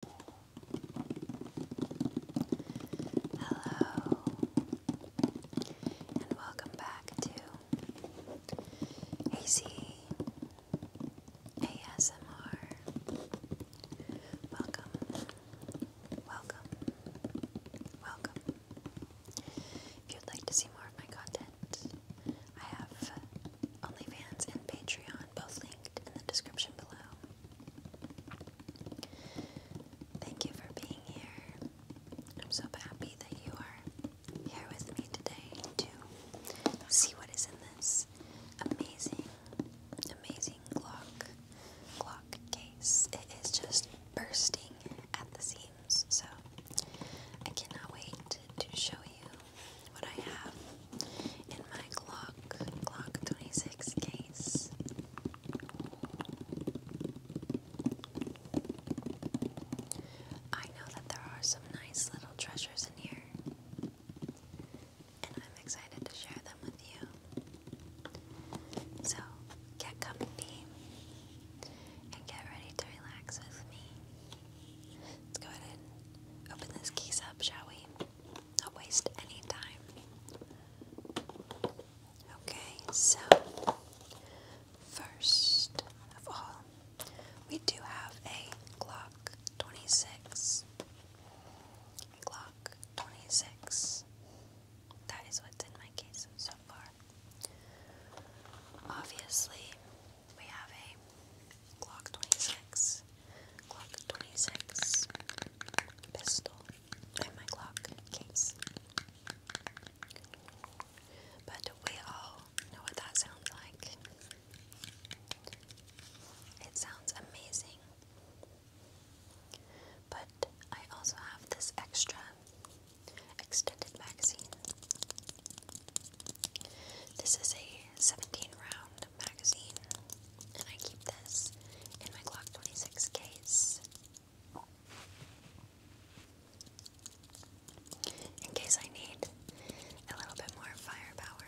Hello, and welcome back to Hazy ASMR. Welcome, welcome, welcome. If you'd like to see more of my content, I have OnlyFans and Patreon both linked in the description below. Thank you for being here. I'm so happy that you are here with me today to see what is in this amazing, amazing clock clock case. It is just bursting at the seams, so I cannot wait to show you what I have in my Glock Glock 26 case. I know that there are some nice little treasures in here, and I'm excited to share them with you. So, get comfy and get ready to relax with me. Let's go ahead and open this case up, shall we? Not waste any time. Okay, so first of all, we do have a clock 26. Glock 26. That is what's in my case so far. Obviously, we have a Glock 26, Glock 26 pistol in my Glock case. But we all know what that sounds like. It sounds amazing. But I also have this extra extended magazine this is a 17 round magazine, and I keep this in my Glock 26 case in case I need a little bit more firepower.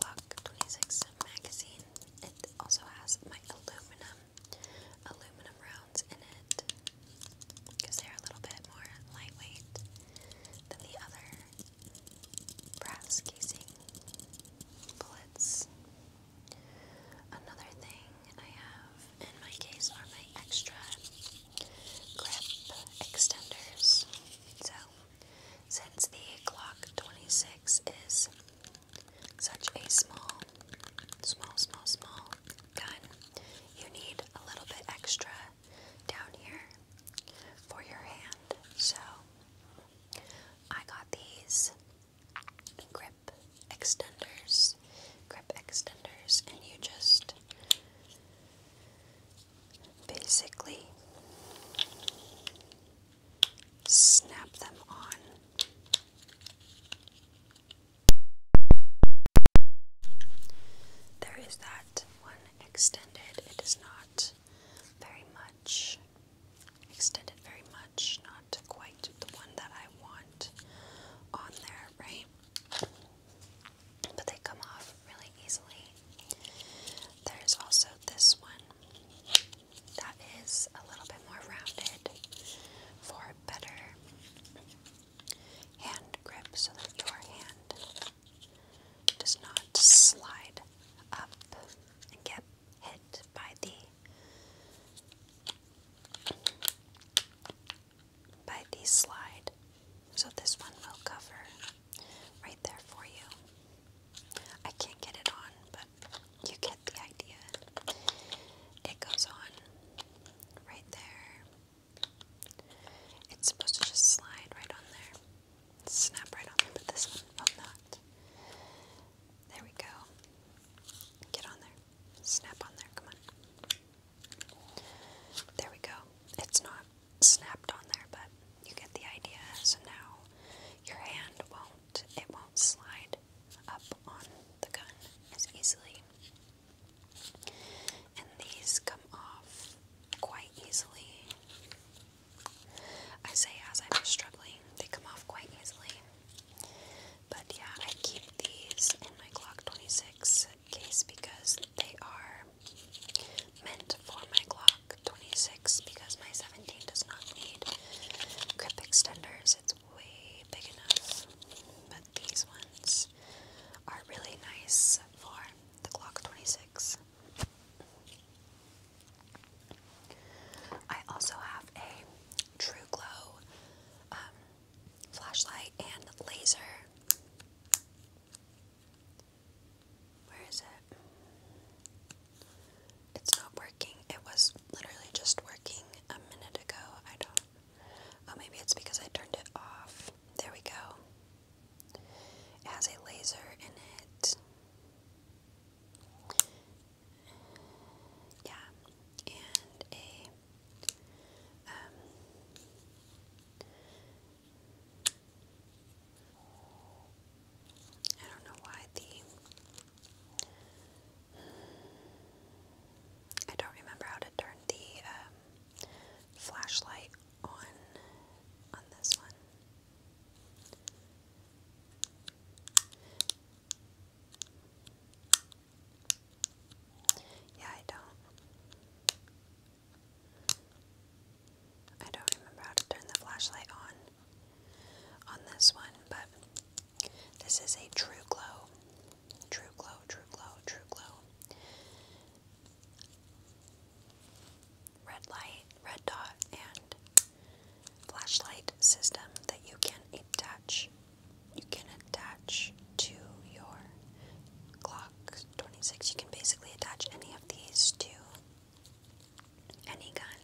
Glock 26 magazine. It also has my aluminum aluminum rounds in it because they're a little bit more lightweight than the other brass casing bullets. Another thing I have in my case are my extra grip extenders. So, since the Glock 26 is such a small, small, small, small gun, you need a little bit extra down here for your hand. So I got these grip extenders, grip extenders, and you just basically snap them on there is that one extended. It is not very much extended, very much, not quite the one that I want on there, right? But they come off really easily. There's also this one that is a little bit more rounded for better hand grip so that your hand does not slide up and get hit by the by the slide. So this one will cover right there for you. I can't get it on, but you get the idea. It goes on right there. It's supposed to just slide right on there. Snap right on there, but this one will not. There we go. Get on there. Snap on there, come on. There we go. It's not snapped on there, but you get the idea. So now your hand won't, it won't slide up on the gun as easily. And these come off quite easily. I say as I'm struggling, they come off quite easily. But yeah, I keep these in my Glock 26 case because they are meant for my Glock 26 because my 17 does not need grip extenders. It's way big enough. These ones are really nice for the clock 26. I also have a True Glow um, flashlight and laser. Where is it? It's not working. It was literally just working a minute ago. I don't Oh, maybe it's because I turned it off. There we go. It has a laser in it. Yeah, and a um, don't know why the I don't remember how to turn the um, flashlight on on this one. Yeah, I don't. I don't remember how to turn the flashlight on on this one, but this is a True Glow. True Glow, True Glow, True Glow. Red light, red dot, and flashlight system that you can attach. You can attach to your Glock 26. You can basically attach any of these to any gun.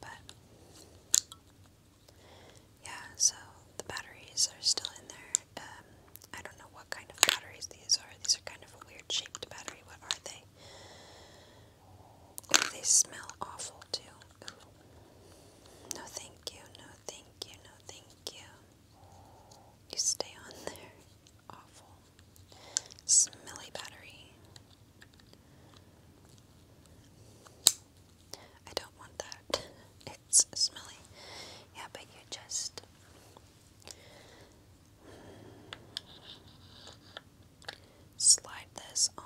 But yeah, so the batteries are still in there. Um, I don't know what kind of batteries these are. These are kind of a weird shaped battery. What are they? Oh, they smell awful too. No, thank you. No, thank you. No, thank you. You stay on there. Awful. Smelly battery. I don't want that. It's smelly. Yeah, but you just. Slide this on.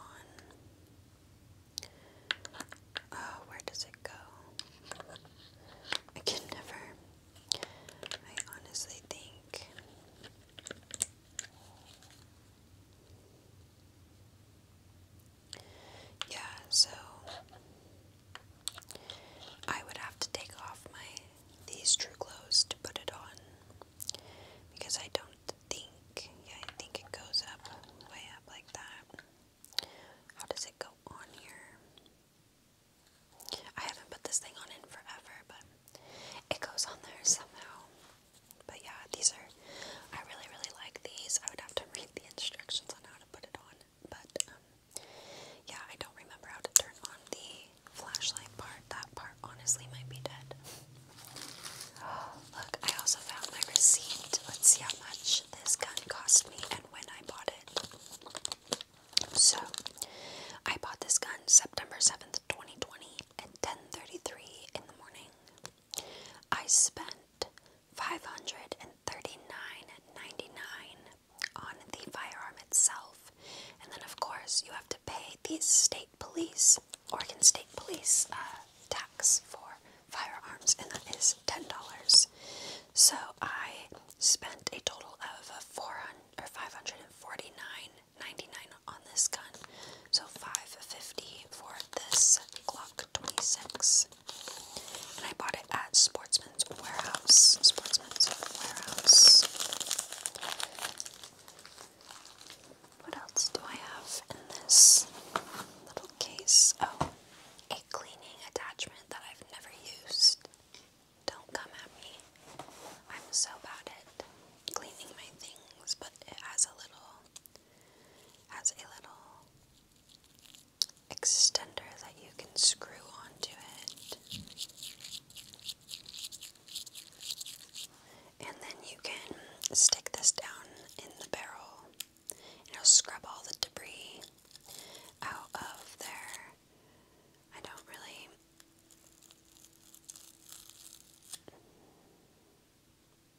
Oh, where does it go? I can never. I honestly think yeah, so I would have to take off my these true clothes to put it on because I don't think yeah, I think it goes up way up like that. How does it go on here? I haven't put this thing on in forever, but it goes on there somehow. But yeah, these are, I really, really like these. I would have to read the instructions on how to put it on. But um, yeah, I don't remember how to turn on the flashlight part. That part honestly might be dead. Look, I also found my receipt. Let's see how much this gun cost me and when I bought it. So, I bought this gun September 7th. 10th, 2020 at 10:33 in the morning. I spent five hundred thirty nine and ninety nine on the firearm itself. And then of course you have to pay the state police, Oregon State Police uh, tax for firearms and that is $10. So I spent a total of 400 or 549 on this gun. So 550 for this Glock 26. And I bought it at Sportsman's Warehouse. Sportsman's Warehouse. What else do I have in this little case? Oh, a cleaning attachment that I've never used. Don't come at me. I'm so bad at cleaning my things, but it has a little has a little extender that you can screw onto it. And then you can stick this down in the barrel. It'll scrub all the debris out of there. I don't really.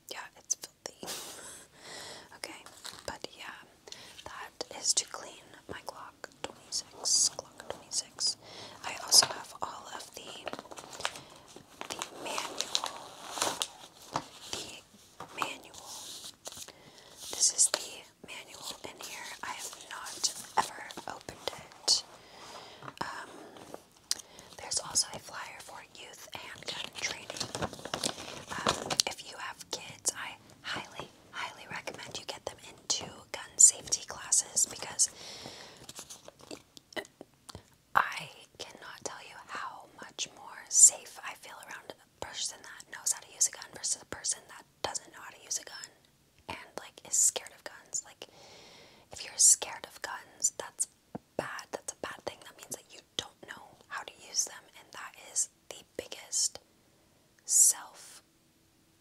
Yeah, it's filthy. okay, but yeah, that is to clean my Glock 26. Glock 26. I also have all of the the manual. The manual. This is the manual in here. I have not ever opened it. Um, there's also a flyer for youth handgun training. Um, if you have kids, I highly, highly recommend you get them into gun safety classes because I cannot tell you how much more safe I feel around a person that knows how to use a gun versus a person that doesn't know how to use a gun and like is scared of guns. Like if you're scared of guns, that's bad. That's a bad thing. That means that you don't know how to use them and that is the biggest self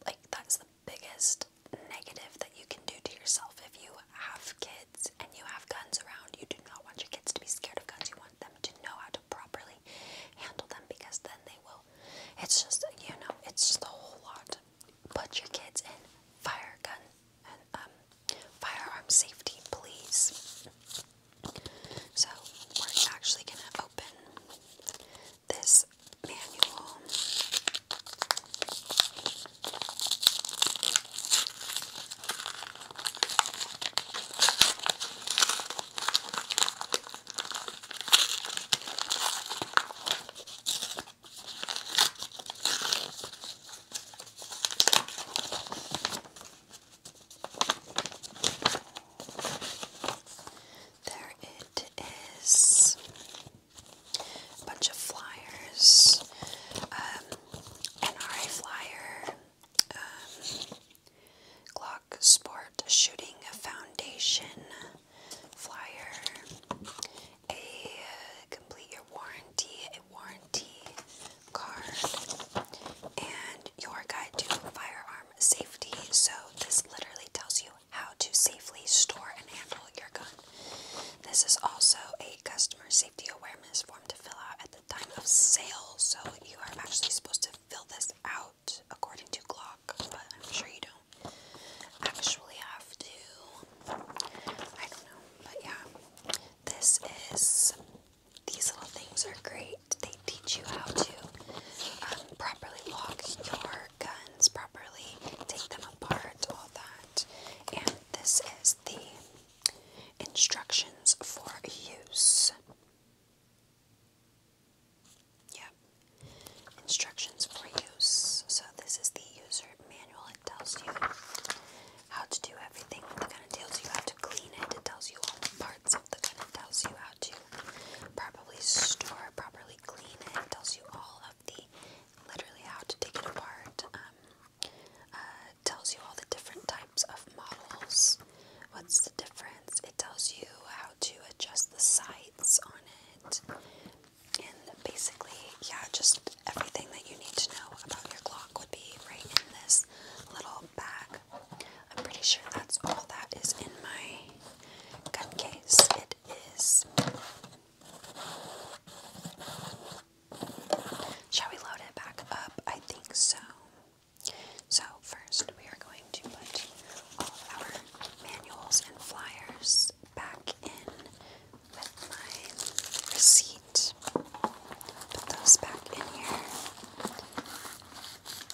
like that's the biggest negative that you can do to yourself if you have kids and you have guns around. You do not want your kids to be scared of guns. You want them to know how to properly handle them because then they will it's just, you know, it's just a whole lot. Put your kids in fire um, firearm safety, please. So we're actually going to open this manual. There it is. A bunch of flyers. Um, NRA flyer. Um, Glock Sport Shooting Foundation flyer, a complete your warranty, a warranty card, and your guide to firearm safety. So, this literally tells you how to safely store and handle your gun. This is also a customer safety awareness form to fill out at the time of sale. So, you are actually supposed to fill this out according to Glock, but I'm sure you don't actually have to. I don't know, but yeah. This is, these little things are great. They teach you how to um, properly lock your guns, properly take them apart, all that. And this is the instructions for use. Yep. Instructions for use. So this is the user manual. It tells you how to do everything with the kind It tells you how to clean it. It tells you all the parts of the gun. It tells you how to properly store, properly clean it. It tells you all of the literally how to take it apart. Um, uh, tells you all the different types of models. What's the difference? It tells you how to adjust the sights on it. And basically, yeah, just everything that you need to know about your clock would be right in this little bag. I'm pretty sure that's all that is in my gun case. It is. Shall we load it back up? I think so. So, first we are going to put all our manuals and flyers back in with my receipt. Put those back in here.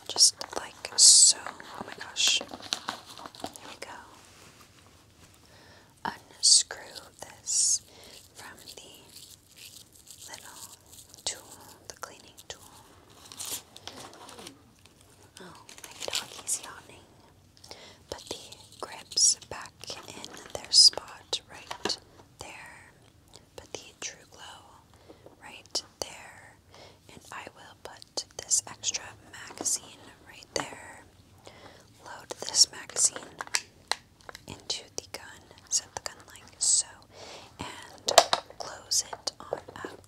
Just like so. Oh my gosh. Here we go. Unscrew this from the little tool, the cleaning tool. Oh, my doggy's yawning. But the grip's back in their spot right there. But the True Glow right there. And I will put this extra magazine right there. Load this magazine into set the gun like so, and close it on up.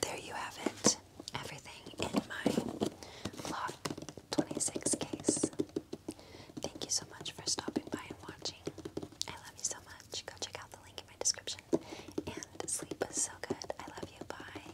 There you have it. Everything in my Lot 26 case. Thank you so much for stopping by and watching. I love you so much. Go check out the link in my description. And sleep is so good. I love you. Bye.